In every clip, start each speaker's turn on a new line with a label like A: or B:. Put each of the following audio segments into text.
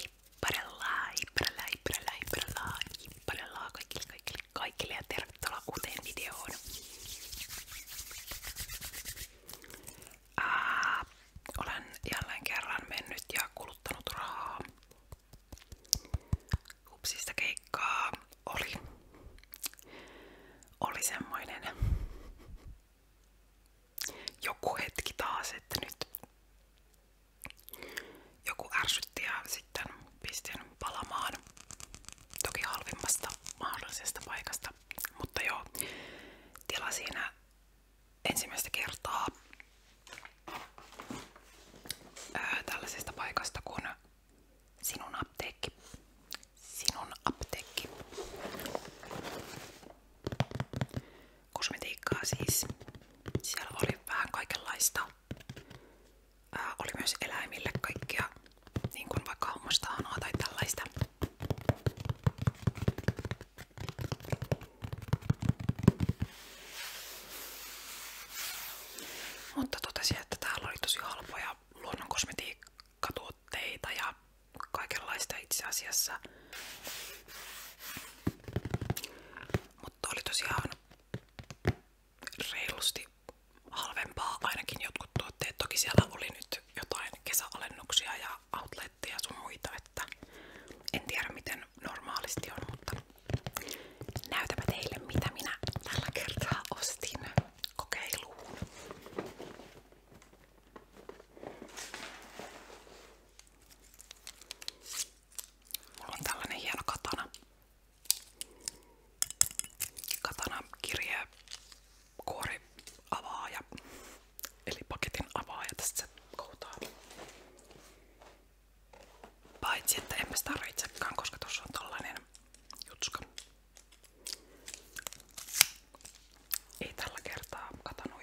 A: Hipparella, hipparella, hipparella, hipparella, hipparella kaikille, kaikille, kaikille ja tervetuloa uuteen videoon. Ää, olen jälleen kerran mennyt ja kuluttanut rahaa. Upsista keikkaa oli. Oli semmoinen joku hetki taas, että nyt joku ärsytti ja sitten pistin palamaan. Toki halvimmasta mahdollisesta paikasta. Mutta joo, tila siinä ensimmäistä kertaa ää, tällaisesta paikasta kuin Sinun apteekki. Sinun apteekki. Kosmetiikkaa siis. Siellä oli vähän kaikenlaista. Ää, oli myös eläimille kaikkia, niin kuin vaikka hammastahanaa tai tällaista. Mutta totesin, että täällä oli tosi halpoja luonnon tuotteita ja kaikenlaista itse asiassa. Mutta oli tosiaan reilusti halvempaa ainakin jotkut tuotteet. Toki siellä oli nyt jotain kesäalennuksia ja outletteja sun muita, että en tiedä miten normaalisti on, mutta näytäpä teille mitä minä tällä kertaa ostin kokeiluun. Mulla tällainen hieno katana. Katana kirje kuori avaaja, eli paketin avaaja tästä se koutaa. että emme sitä tarvitsekaan, koska tuossa on tällainen jutska. Ei tällä kertaa katanoida.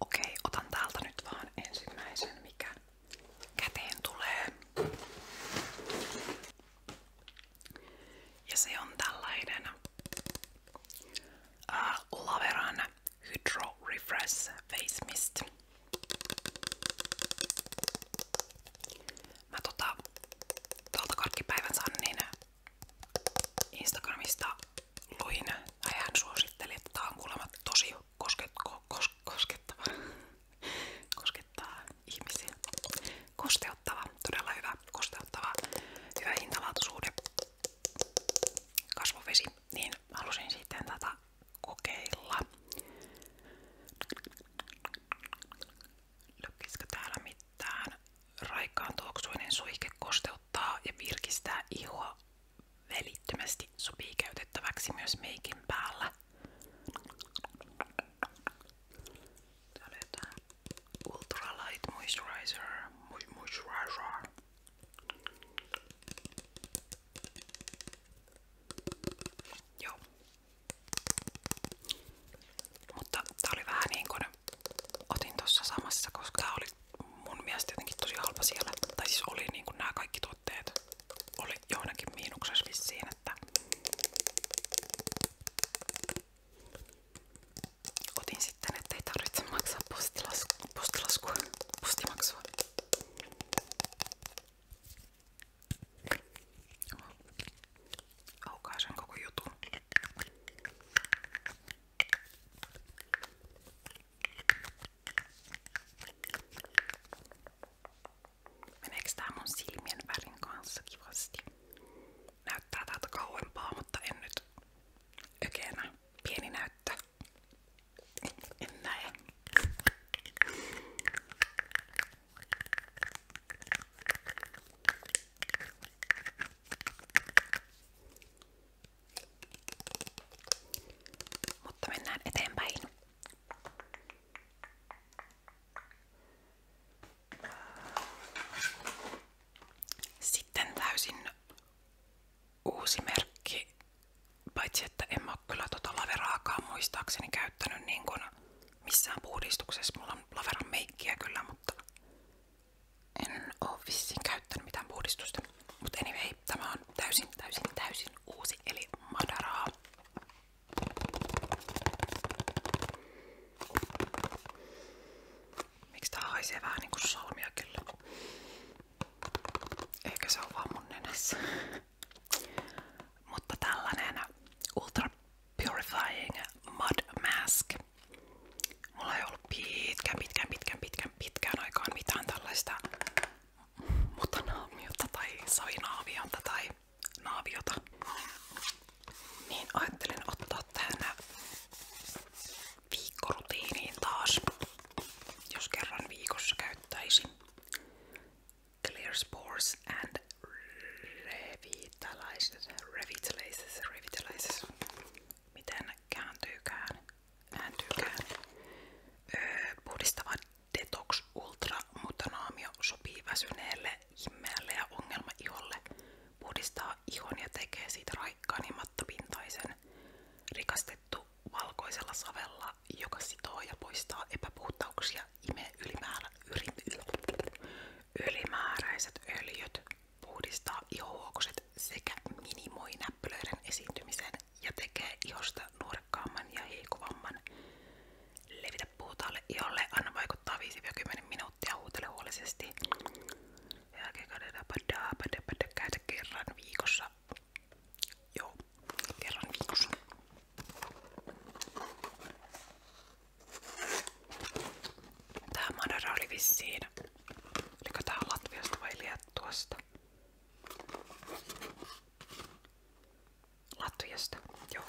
A: Okei, otan täältä nyt vaan ensimmäisen, mikä käteen tulee. Ja se on tällainen uh, Laveran Hydro Refresh Face Mist. Mä tota, tuolta karkkipäivän saan niin Instagramista luin, ja hän suositteli, että tää on kuulemma tosi koskettaa ihmisiä. Kosteuttava, todella hyvä, kosteuttava, hyvä hintalaatuisuuden kasvovesi, niin halusin sitten tätä kokeilla. Löykisikö täällä mitään? Raikkaan tuoksuinen suihke kosteuttaa aiheuttaa ja virkistää ihoa välittömästi sopii käytettäväksi myös meikin päällä. Täällä jotain Ultralight Moisturizer. Moisturizer. Joo. Mutta tää oli vähän niin kuin otin tuossa samassa, koska tää oli mun mielestä jotenkin tosi halpa siellä. Tai siis oli niinku nämä kaikki tuotteet oli johonkin miinuksessa vissiin, että otin sitten, ettei tarvitse maksaa postilaskua, postilaskua postimaksua. Aukaisen koko jutun. Meneekö tää mun silmien värin kanssa kivasti? Näyttää täältä kauempaa, mutta en nyt ökeenä. Pieni näyttö. En näe. Mutta mennään eteenpäin. Sitten täysin uusi merkki, paitsi että en mä oo kyllä tota laveraakaan muistaakseni käyttänyt niin kun missään puhdistuksessa. Mulla on laveran meikkiä kyllä, mutta en oo vissiin käyttänyt mitään puhdistusta. Mutta anyway, tämä on täysin, täysin, täysin uusi, eli madaraa. Miksi tää haisee vähän niinku salmia kyllä? se oo mun nenässä. Mutta tällainen ultra purifying mud mask. Mulla ei ollut pitkään, pitkään, pitkään, pitkään, pitkään aikaan mitään tällaista mutanaamiota tai sainaaviota tai naaviota. Niin ajattelin ottaa tähän viikkorutiiniin taas, jos kerran viikossa käyttäisin Clear Spores and Revitalizes, Revitalizes, Revitalizes miten kääntyykään, kääntyykään. Öö, puhdistava Detox Ultra Mutanaamio sopii väsyneelle, himmeälle ja ongelmaiholle. Puhdistaa ihon ja tekee siitä raikkaan ja mattapintaisen. Rikastettu valkoisella savella, joka sitoo ja poistaa epäpuhtauksia, imee ylimääräistä yl Ylimääräiset öljyt puhdistaa ihohuokoset sekä minimoi näppylöiden esiintymisen ja tekee ihosta nuorekkaamman ja hiikuvamman. Levitä puhtaalle iholle, anna vaikuttaa 5-10 minuuttia, huutele huolellisesti. Käytä kerran viikossa. Joo, kerran viikossa. Tää Madara oli vissiin. Oliko Latviasta vai Liettuasta? Latviasta, joo.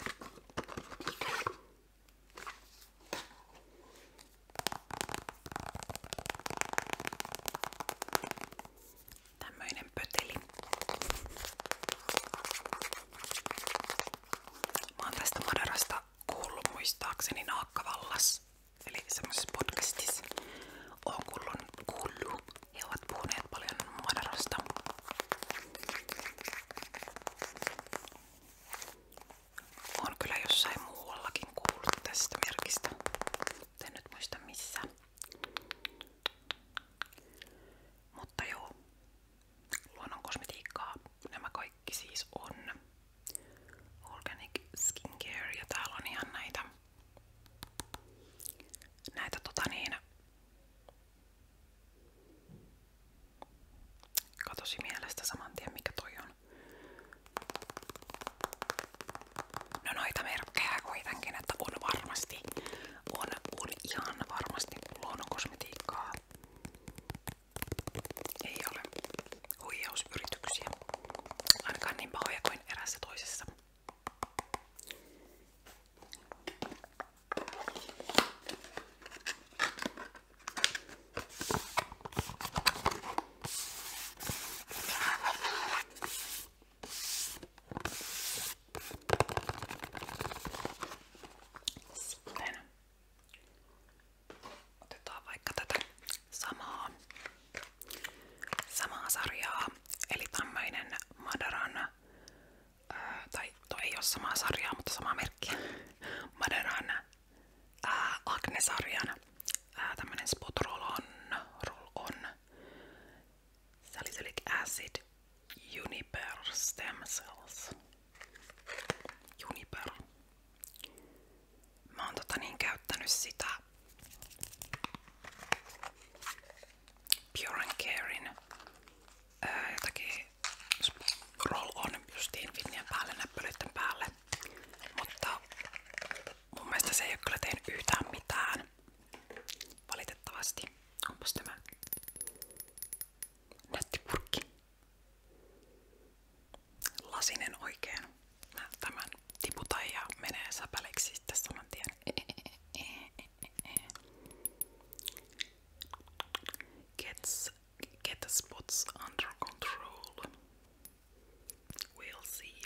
A: Tämmöinen pöteli. Mä oon tästä Madarasta kuullut muistaakseni Naakkavallas, eli semmoisessa podcastissa. on kuullut, kuullut. He ovat puhuneet paljon Madarasta. On kyllä jossain muuallakin kuullut tästä merkistä, mutta en nyt muista missä. Mutta joo, luonnon kosmetiikkaa nämä kaikki siis on Organic Skincare ja täällä on ihan näitä näitä tota niin katosi mielestä saman tien mikä toi on no noita merkkejä kuitenkin että on varmasti on, on ihan varmasti luonnonkosmetiikkaa ei ole huijausyrityksiä. Ainakaan niin pahoja kuin erässä toisessa. Sitten Otetaan vaikka tätä samaa, samaa sarjaa, eli tämmöinen Madaran, äh, tai toi no ei ole samaa sarjaa, mutta samaa merkkiä, Madaran äh, Acne-sarjan äh, tämmönen Spot Roll On, roll on Salicylic Acid Uniper Stem Cells. Juniper. Mä oon tota niin käyttänyt sitä Pure and Carein ää, jotakin roll on justiin vinnien päälle, näppylöiden päälle. Mutta mun mielestä se ei ole kyllä tehnyt yhtään mitään. Valitettavasti. Onpas tämä nätti purkki lasinen oikein. Mä tämän tiputan ja menee säpäleksi sitten saman tien. Gets, get the spots under control. We'll see.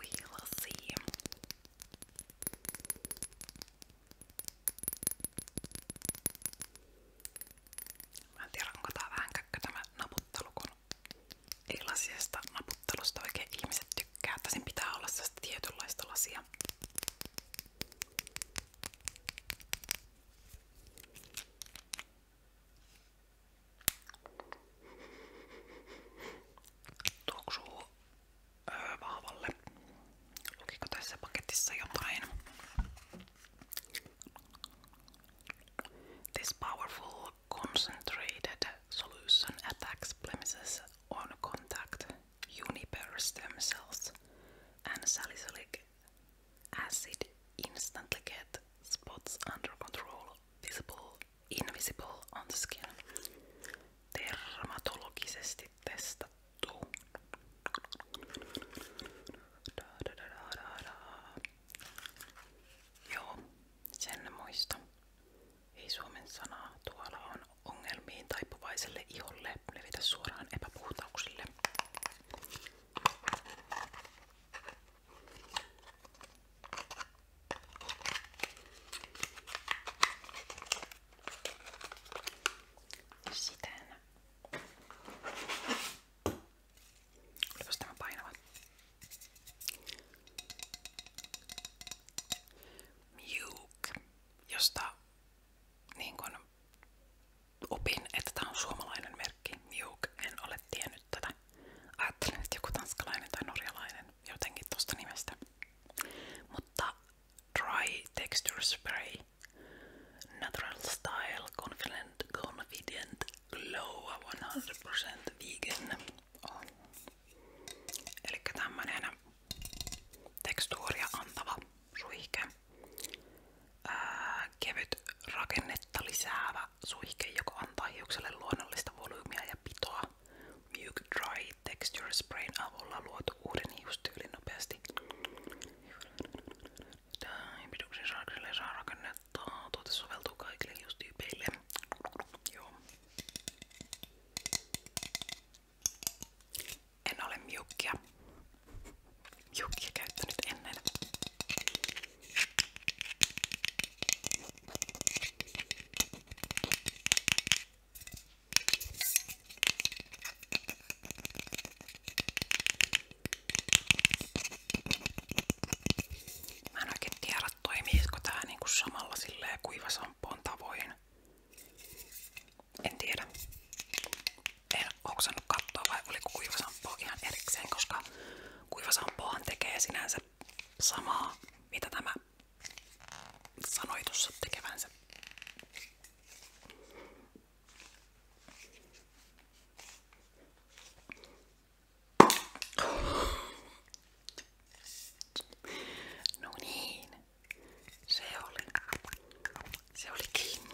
A: We'll see. Mä en tiedä, onko tää vähän käkkö tämä naputtelu, kun ei lasiasta naputtelusta oikein ihmiset tykkää, että sen pitää olla sellaista tietynlaista lasia. Tuoksuu öö, vahvalle. Lukiko tässä paketissa jotain? This powerful concentrated solution attacks blemishes on contact Uniper stem cells and salicylic acid instantly get spots under control, visible, invisible on the skin. Dermatologisesti asti testattu. Da, da, da, da, da. Joo, sen muista. Ei suomen sanaa tuolla on ongelmiin taipuvaiselle iholle levitä suoraan epäpuhtauksille. Siten Olipas tämä painava. Mjuk, josta niin kun opin, että tämä on merkki. Mjuk, en ole tiennyt tätä. Ajattelin, että joku tanskalainen tai norjalainen jotenkin tosta nimestä. Mutta Dry Texture Spray Natural Style Confident, confident Glow 100% vegan on. Eli tämmönen tekstuuria antava suihke. Ää, kevyt rakennetta lisäävä suihke, joka antaa hiukselle luonnollista volyymia ja pitoa. Milk Dry Texture Sprayn avulla luotu uuden hiustyylin nopeasti. Tämä piduksen saakselle saa rakennettaa. Tuote soveltuu kaikille hiustyypeille. Joo. En ole miukkia. Miukkia käyttänyt ennen. Mä en oikein tiedä toimiisko tää niinku samalla silleen kuivasampoon tavoin. En tiedä. En oksannut katsoa vai oliko kuivasampo ihan erikseen, koska kuivasampohan tekee sinänsä samaa, mitä tämä sanoi tuossa tekevänsä. No niin, se oli, se oli kiinni.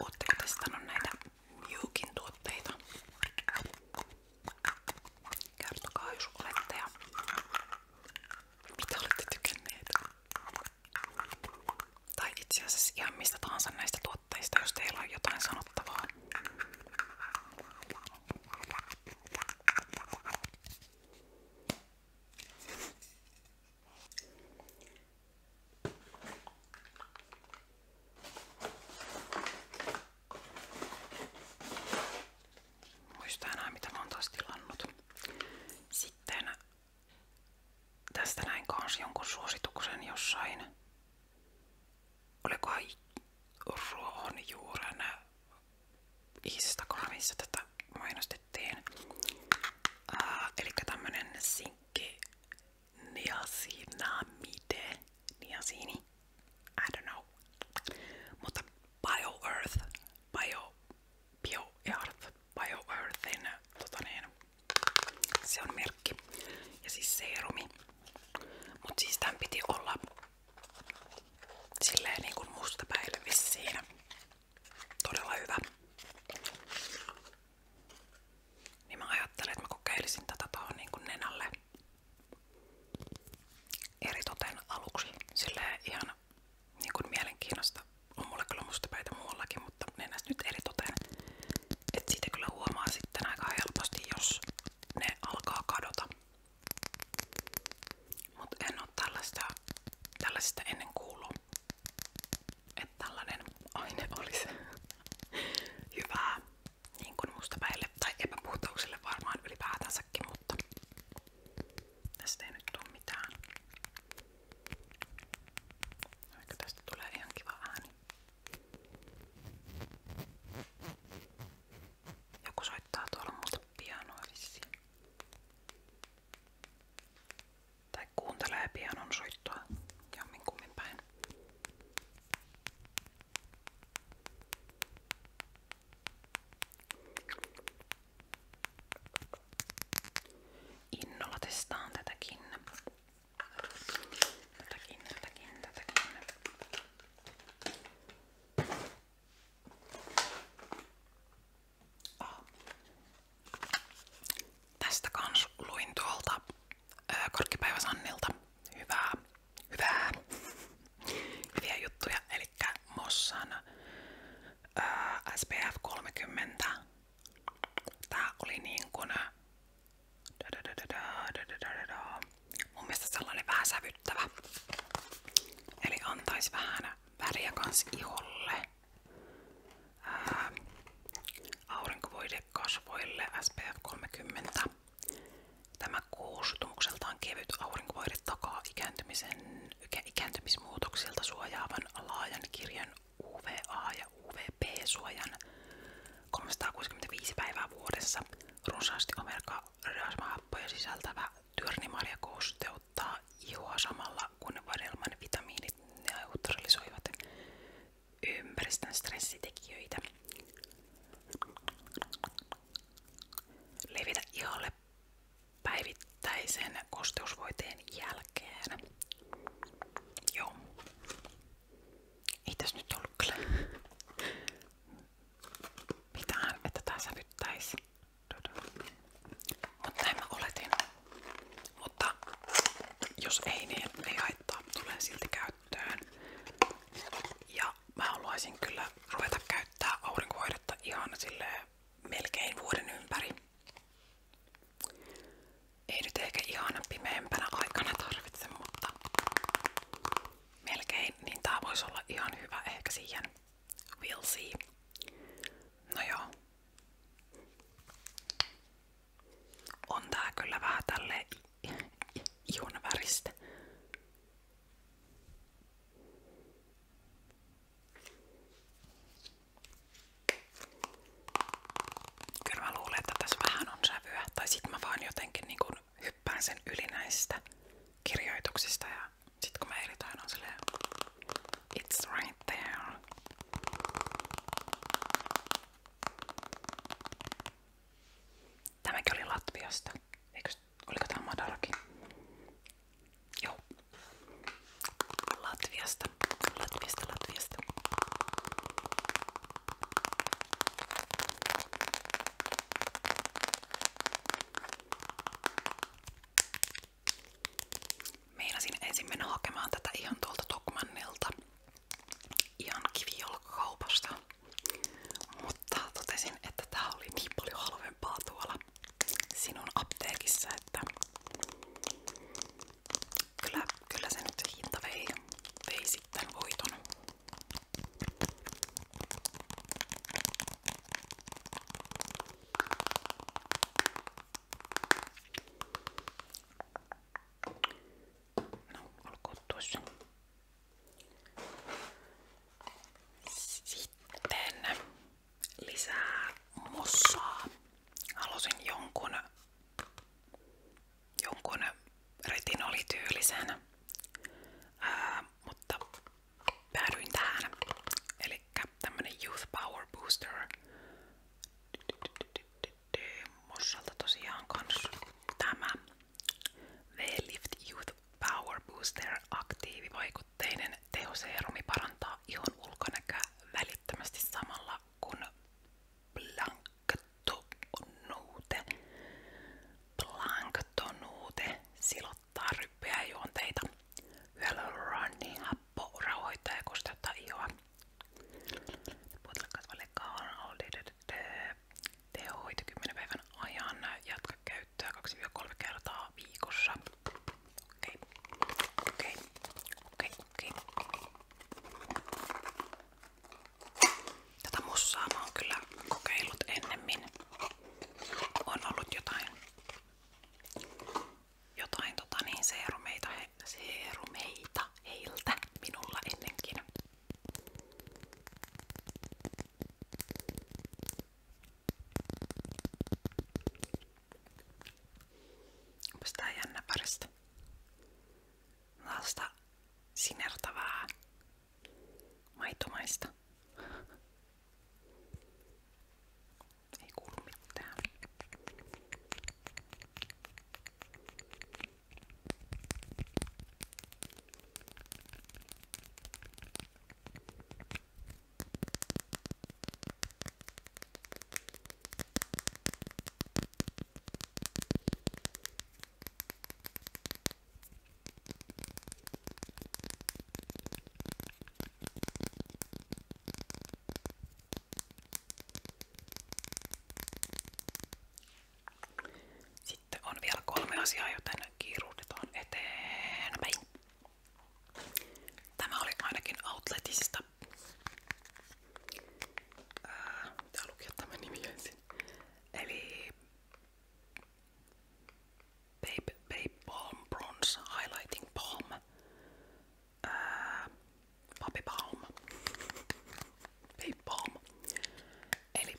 A: Ootteko testannut näitä Miukin tuotteita? Kertokaa jos olette ja mitä olette tykänneet. Tai itse asiassa ihan mistä tahansa näistä tuotteista, jos teillä on jotain sanottavaa. Muista enää mitä mä oon Sitten tästä näin kans jonkun suosituksen jossain. Olikohan ruohonjuuren Instagramissa tätä mainosti käytettiin. Äh, eli tämmönen sinkki niacinamide, niasini, I don't know. Mutta BioEarth, Bio, BioEarth, BioEarthin, tota niin, se on merkki. Ja siis seerumi. Mut siis piti olla silleen niinku musta päivä vissiin. Todella hyvä. Niin mä ajattelin, että mä kokeilisin tätä tuohon niin nenälle eritoten aluksi. Silleen ihan niin kuin mielenkiinnosta. On mulla kyllä mustapäitä muuallakin, mutta nenästä nyt eritoten. Että siitä kyllä huomaa sitten aika helposti, jos ne alkaa kadota. Mut en oo tällaista, tällaisesta ennen kuullut, että tällainen aine olisi hyvää niin kuin mustapäille tai epäpuhtauksille varmaan ylipäätänsäkin, mutta tästä ei nyt tule mitään. Vaikka tästä tulee ihan kiva ääni. Joku soittaa tuolla muuta soita pianoa vissiin. Tai kuuntelee pianon soittoa jomminkummin päin. Innolla testaan tätäkin. Tätäkin, tätäkin, tätäkin. Tästä kans luin tuolta Korkkipäivä Sannilta juttuja, eli Mossan SPF 30. Tää oli niin kuin mun mielestä sävyttävä, eli antaisi vähän väriä kans iholle ää, aurinkovoide kasvoille SPF 30. Tämä koostumukseltaan kevyt aurinkovoide takaa ikääntymisen, ikääntymismuutoksilta suojaavan laajan kirjan UVA- ja UVP-suojan 365 päivää vuodessa runsaasti omega-rasvahappoja sisältävä tyrnimarjakoosteus hehkuttaa ihoa samalla kun vadelman vitamiinit neutralisoivat ympäristön stressitekijöitä. Levitä iholle päivittäisen kosteusvoiteen jälkeen. Joo. Ei tässä nyt ollut pitää mitään, että tää sävyttäisi mutta näin mä oletin. Mutta jos ei, niin ei haittaa. Tulee silti käyttöön. Ja mä haluaisin kyllä ruveta käyttää aurinkohoidetta ihan melkein vuoden ympäri. Ei nyt ehkä ihan aikana tarvitse, mutta melkein, niin tää olla ihan hyvä ehkä siihen We'll see. Nojo. On tää kyllä vähän tälle ihon Kyllä mä että tässä vähän on sävyä. Tai sit mä jotenkin niin kun hyppään sen yli näistä kirjoituksista ja sit kun mä irritoin on silleen It's right there. Tämäkin oli Latviasta. Eikös, oliko tää Madarki? Joo. Latviasta. Latviasta, Latviasta. Meinasin ensin mennä hakemaan tätä ihan tuolta Tokmannilta, ihan kivijalkakaupasta, mutta totesin, että tää oli niin paljon halvempaa tuolla sinun apteekissa, että kyllä, kyllä se nyt hinta vei, vei sitten voiton. No, olkoon tuossa. Sitten lisää mossaa. Halusin jonkun, jonkun retinolityylisen, ää, mutta päädyin tähän. Eli tämmönen Youth Power Booster. Mossalta tosiaan kans tämä v Youth Power Booster aktiivivaikutteinen tehoseerumi parantaa ihon ulkonäköä välittömästi samalla kun blanktonuute, blanktonuute silottaa helpottaa ryppyjä ja juonteita. Hyaluroni happo rauhoittaa ja kosteuttaa ihoa. Puotelakasvallekaan on tehohoito 10 päivän ajan. Jatka käyttöä 2-3 kertaa viikossa. Okei, okei, okei, okei. Tätä mussaa mä oon kyllä kokeillut ennemmin. On ollut jotain jotain tota niin, seerumeita, he, seerumeita heiltä minulla ennenkin. Onpas tää jännä parista. Tällaista sinertävää maitomaista. Ei kuulu mitään. Sitten on vielä kolme asiaa, joten kiiruudetaan eteenpäin. Tämä oli ainakin Outletista. Pitää lukia tämä nimi ensin. Eli Babe, babe Balm Bronze Highlighting Balm. Ää, äh, Papi Balm. Babe Balm. Eli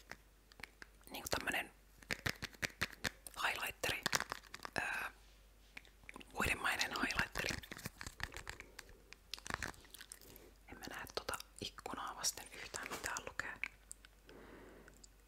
A: niinku tämmönen highlighteri. Ää, äh, Uudemainen highlighteri. En mä näe tuota ikkunaa vasten yhtään mitään lukee.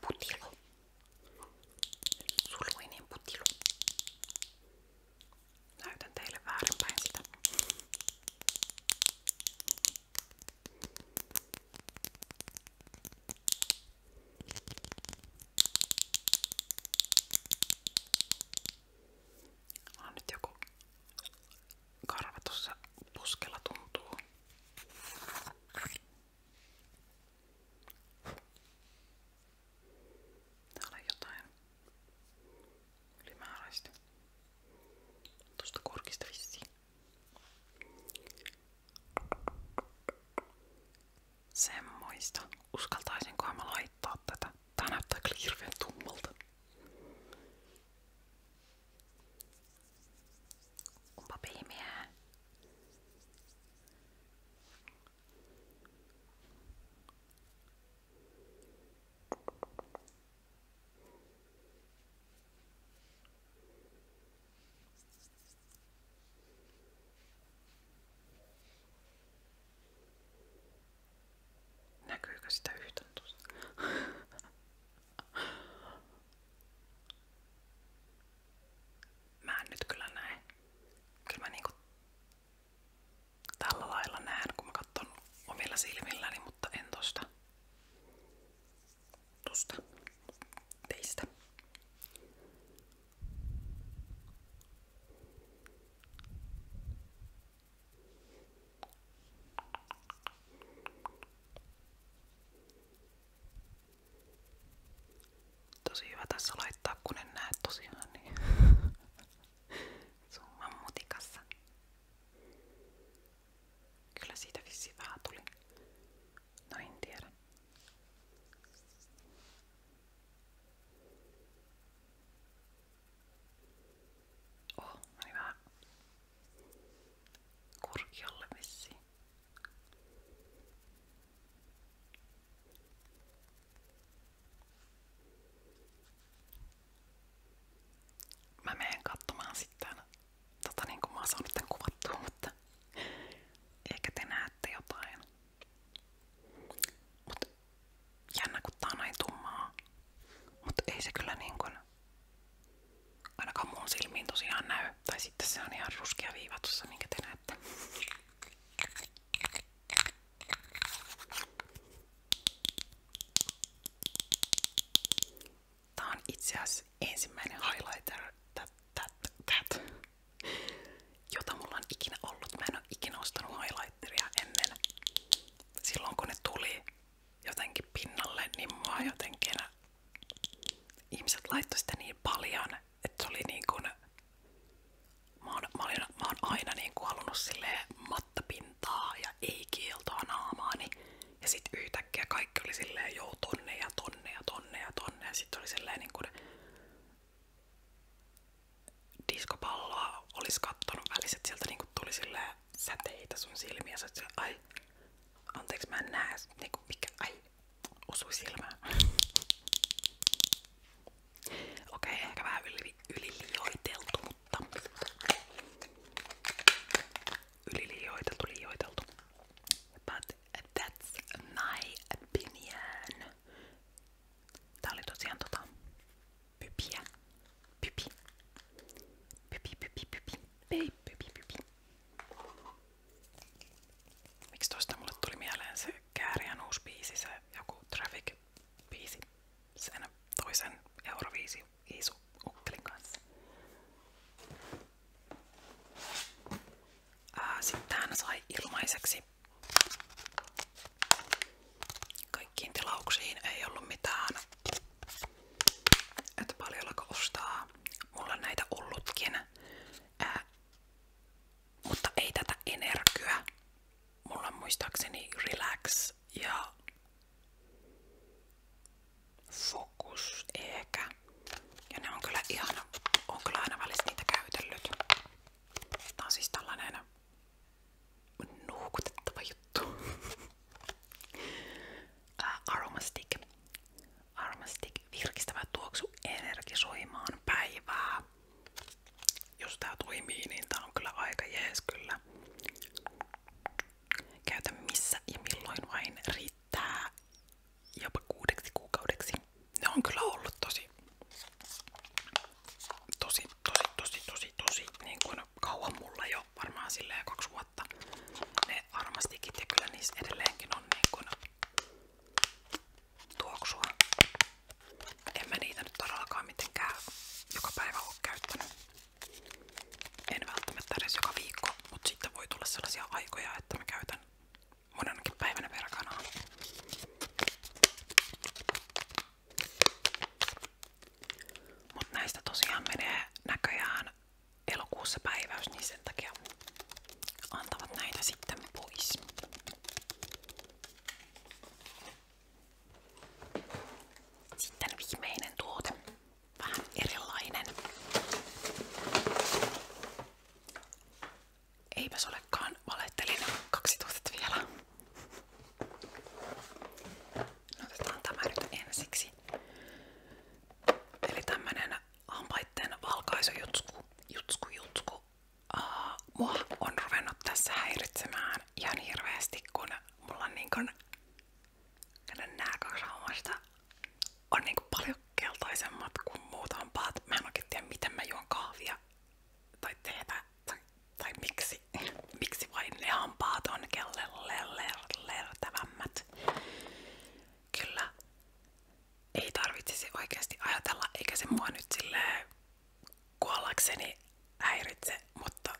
A: putilo sulmuinen putilo näytän teille väärinpäin sitä Mä on nyt joku karva tuossa puskella tuntuu. Täällä on jotain ylimääräistä. Tuosta korkista vissiin. Semmoista. Uskaltaisinkohan mä laittaa tätä? Tää näyttää kyllä hirveän tummalta. Onpa pimeää. Näkyykö sitä yhtään tuossa? Mä en nyt kyllä näe. Kyllä mä niinku tällä lailla näen, kun mä katson omilla silmilläni, mutta en tosta. Tuosta teistä. Tosi hyvä tässä laittaa, kun en näe tosiaan niin. Summan no, Oh, meni vähän kurkialle vissiin. Mä menen katsomaan sitten, tota niin kuin mä oon saanut tän kuvattua, mutta ehkä te näette jotain. Mut jännä kun tää on näin tummaa, mut ei se kyllä niin kuin ainakaan mun silmiin tosiaan näy. Tai sitten se on ihan ruskea viiva tuossa, minkä te näette. Tää on itse asiassa ensimmäinen highlighter, that, that, that, jota mulla on ikinä ollut. Mä en ostanut highlighteria ennen. Silloin kun tuli jotenkin pinnalle, niin mä jotenkin ihmiset laittoi sitä niin paljon, että se oli niin kuin, mä oon, mä olin, mä oon aina niin kuin halunnut silleen mattapintaa ja ei kieltoa naamaani. Ja sit yhtäkkiä kaikki oli silleen jo tonne ja tonne ja tonne ja tonne. Ja sit oli silleen niin kuin diskopalloa olisi kattonut välissä, että sieltä niin kuin tuli silleen säteitä sun silmiä. Sä ai, anteeksi mä en näe, niin kuin mikä, ai, osui silmään. Okei, okay, ehkä vähän yli, yliliioiteltu, mutta yliliioiteltu, liioiteltu. But that's my opinion. Tää oli tosiaan tota pypiä. Pypi. Pypi, pypi, pypi. Pypi, pypi, pypi. Miksi tosta mulle tuli mieleen se Kääriän uusi biisi, se joku Traffic-biisi sen toisen Euroviisi Iisu Ukkelin kanssa. Sitten hän sai ilmaiseksi. Kaikkiin tilauksiin ei ollut mitään, että paljonko ostaa Mulla on näitä ollutkin. Ää, mutta ei tätä energiaa. Mulla on muistaakseni relax ja fokus ehkä. Ja ne on kyllä ihana. On kyllä aina välissä niitä käytellyt. Tää on siis tällainen nuukutettava juttu. Aroma stick varmasti virkistävä tuoksu energisoimaan päivää. Jos tää toimii, niin tää on kyllä aika jees kyllä. Käytä missä ja milloin vain riittää jopa kuudeksi kuukaudeksi. Ne on kyllä ollut tosi, tosi, tosi, tosi, tosi, tosi niin kuin kauan mulla jo varmaan silleen kaksi vuotta ne varmastikin ja kyllä niissä edelleenkin on niin kuin tuoksua. En mä niitä nyt todellakaan mitenkään joka päivä ole käyttänyt. En välttämättä edes joka viikko, mutta sitten voi tulla sellaisia aikoja, että mä käytän monenakin päivänä verkanaa. Mut näistä tosiaan menee näköjään elokuussa päiväys, niin sen takia antavat näitä sitten pois. Sitten viimeinen tuote, vähän erilainen. Eipäs olekaan, valettelin kaksi tuotetta vielä. No, otetaan tämä nyt ensiksi. Eli tämmönen hampaitten valkaisujutku, jutsku, jutsku. Uh, mua on ruvennut tässä häiritsemään ihan hirveästi, kun mulla on niin kun, nää kaksi hammasta on niin kun paljon keltaisemmat kuin muut hampaat. Mä en oikein tiedä, miten mä juon kahvia tai teetä tai, tai miksi, miksi vain ne hampaat on kellertävämmät kyllä ei tarvitsisi oikeasti ajatella, eikä se mua nyt silleen kuollakseni häiritse, mutta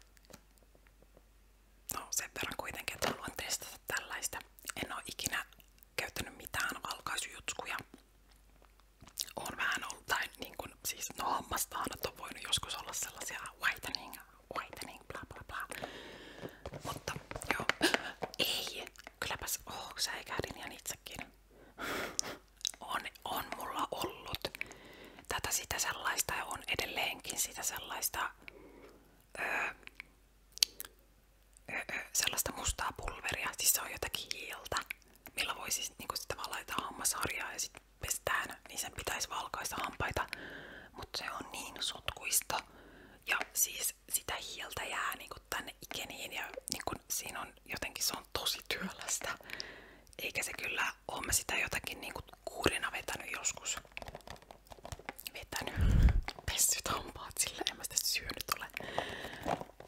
A: no sen verran kuitenkin, että haluan testata tällaista. En ole ikinä käyttänyt mitään valkaisujutskuja. On vähän ollut, tai niin kuin, siis no hammastahanat on voinut joskus olla sellaisia whitening whitening, bla bla bla. Mutta joo, ei, kylläpäs oo oh, säikähdin ihan itsekin. On, on mulla ollut tätä sitä sellaista ja on edelleenkin sitä sellaista öö, öö, sellaista mustaa pulveria, siis se on jotakin hiiltä, millä voi siis niinku tavallaan laittaa hammasharjaa ja sitten pestään, niin sen pitäisi valkaista hampaita, mutta se on niin sotkuista ja siis sitä hieltä jää niinku tänne ikeniin ja niin niinku siinä on jotenkin se on tosi työlästä. Eikä se kyllä ole sitä jotakin niinku kuurina vetänyt joskus. Vetänyt. Pessyt hampaat sillä, en mä sitä syönyt ole.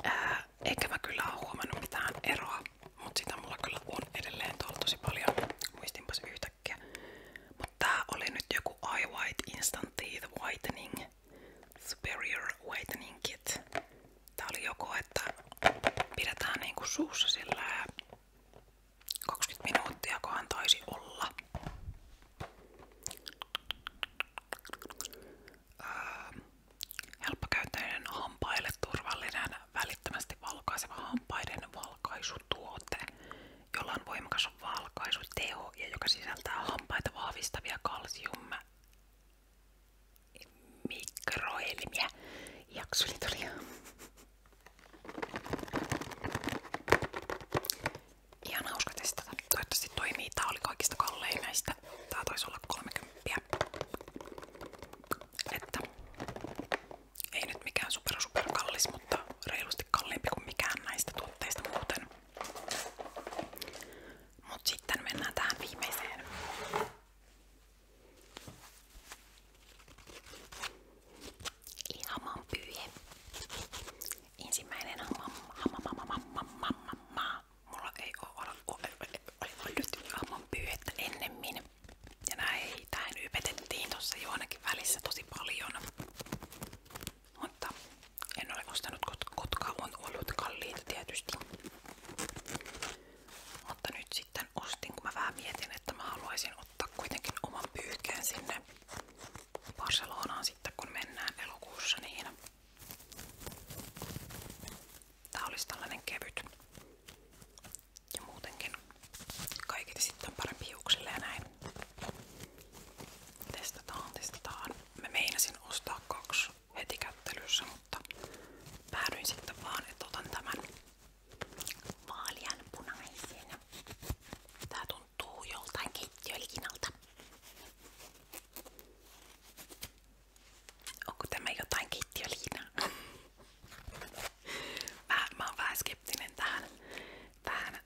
A: Ää, eikä mä kyllä oo huomannut mitään eroa. mutta sitä mulla kyllä on edelleen tuolla tosi paljon. Muistinpas yhtä yhtäkkiä. Mutta tää oli nyt joku Eye White Instant Teeth Whitening Superior Whitening Kit. Tää oli joko, että pidetään niinku suussa sillä ja 20 minuuttia, kohan taisi olla. Öö, helppokäyttöinen turvallinen, välittömästi valkaiseva valkaisutuote jolla on voimakas teho ja joka sisältää hampaita vahvistavia kalsiumma mikroelmiä. Jaksulit oli ihan hauska testata. Toivottavasti toimii. Tää oli kaikista kallein näistä. Tää taisi olla 30 ei nyt mikään super super kallis, mutta reilusti kalliimpi kuin mikään näistä tuotteista muuten. Mut sitten mennään tähän viimeiseen. Ihan pyyhe. Ensimmäinen hamam, hamam, hamam, hamam, hamam, Mulla ei oo ollut hamam pyyhettä ennemmin. Ja näitähän ypetettiin tossa jo ainakin välissä tosi paljon. Mutta en ole ostanut, kotka on ollut kalliita tietysti. Mutta nyt sitten ostin, kun mä vähän että mä haluaisin ottaa kuitenkin oman pyyhkeen sinne sitten, kun mennään elokuussa Tää olisi tällainen kevyt. Ja muutenkin kaikille sitten parempi hiuksille ja näin. Testataan, testataan. Mä meinasin ostaa kaksi heti kättelyssä, mutta päädyin sitten vaan, että otan tämän vaalian punaisen. Tää tuntuu joltain keittiölikinalta. Onko tämä jotain keittiöliinaa? mä, mä oon vähän skeptinen tähän Tähän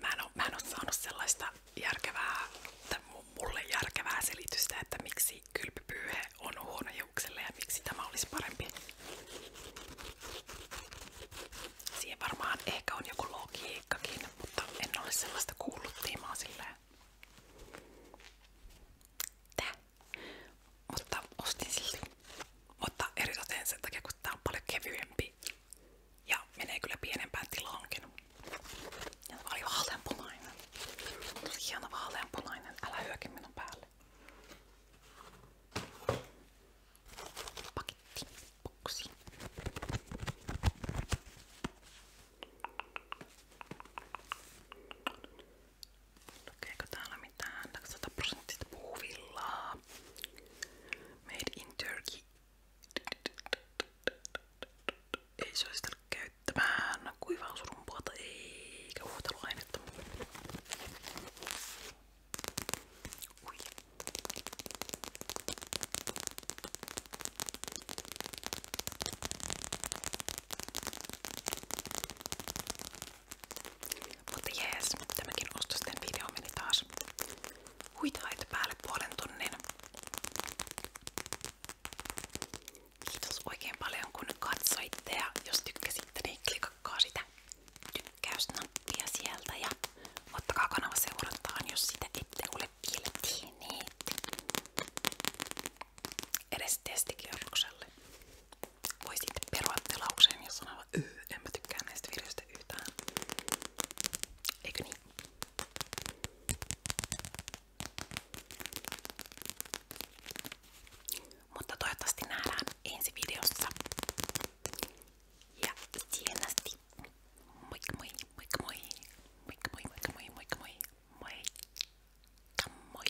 A: mä en, oo, mä en oo saanut sellaista järkevää, tai mulle järkevää selitystä, että miksi kylpypyyhe on huono hiukselle ja miksi tämä olisi parempi. Siihen varmaan ehkä on joku logiikkakin, mutta en ole sellaista kuullut tiimaa niin silleen. Tää. Mutta ostin silti. Mutta eritoten sen takia, kun tää on paljon kevyempi ja menee kyllä pienempään tilaankin. Ja tämä oli vaaleanpunainen. Tosi hieno vaaleanpunainen. Älä hyökin minun päälle. Paketti. Boksi. Lukeeko täällä mitään? 100 prosenttista puuvillaa. Made in Turkey. Ei se olisi tullut käyttämään kuivaa surumpuolta eikä huuhteluainetta. Ui. Mutta jees, tämäkin ostosten video meni taas huitaita päälle puolen tunnin. Kiitos oikein paljon kun katsoitte ja jos tykkäsitte niin klikakkaa sitä tykkäysnappia sieltä ja ottakaa kanava seurantaan jos sitä ette ole kiltiineet edes testikierrokselle voi sitten perua te lauseen ja sanoa, öö, en mä tykkää näistä videoista yhtään. Eikö niin? Mutta toivottavasti nähdään ensi videossa. Ja siihen asti. Moikka moi, moikka moi. Moikka moi, moikka moi, moikka moi. Moikka moi.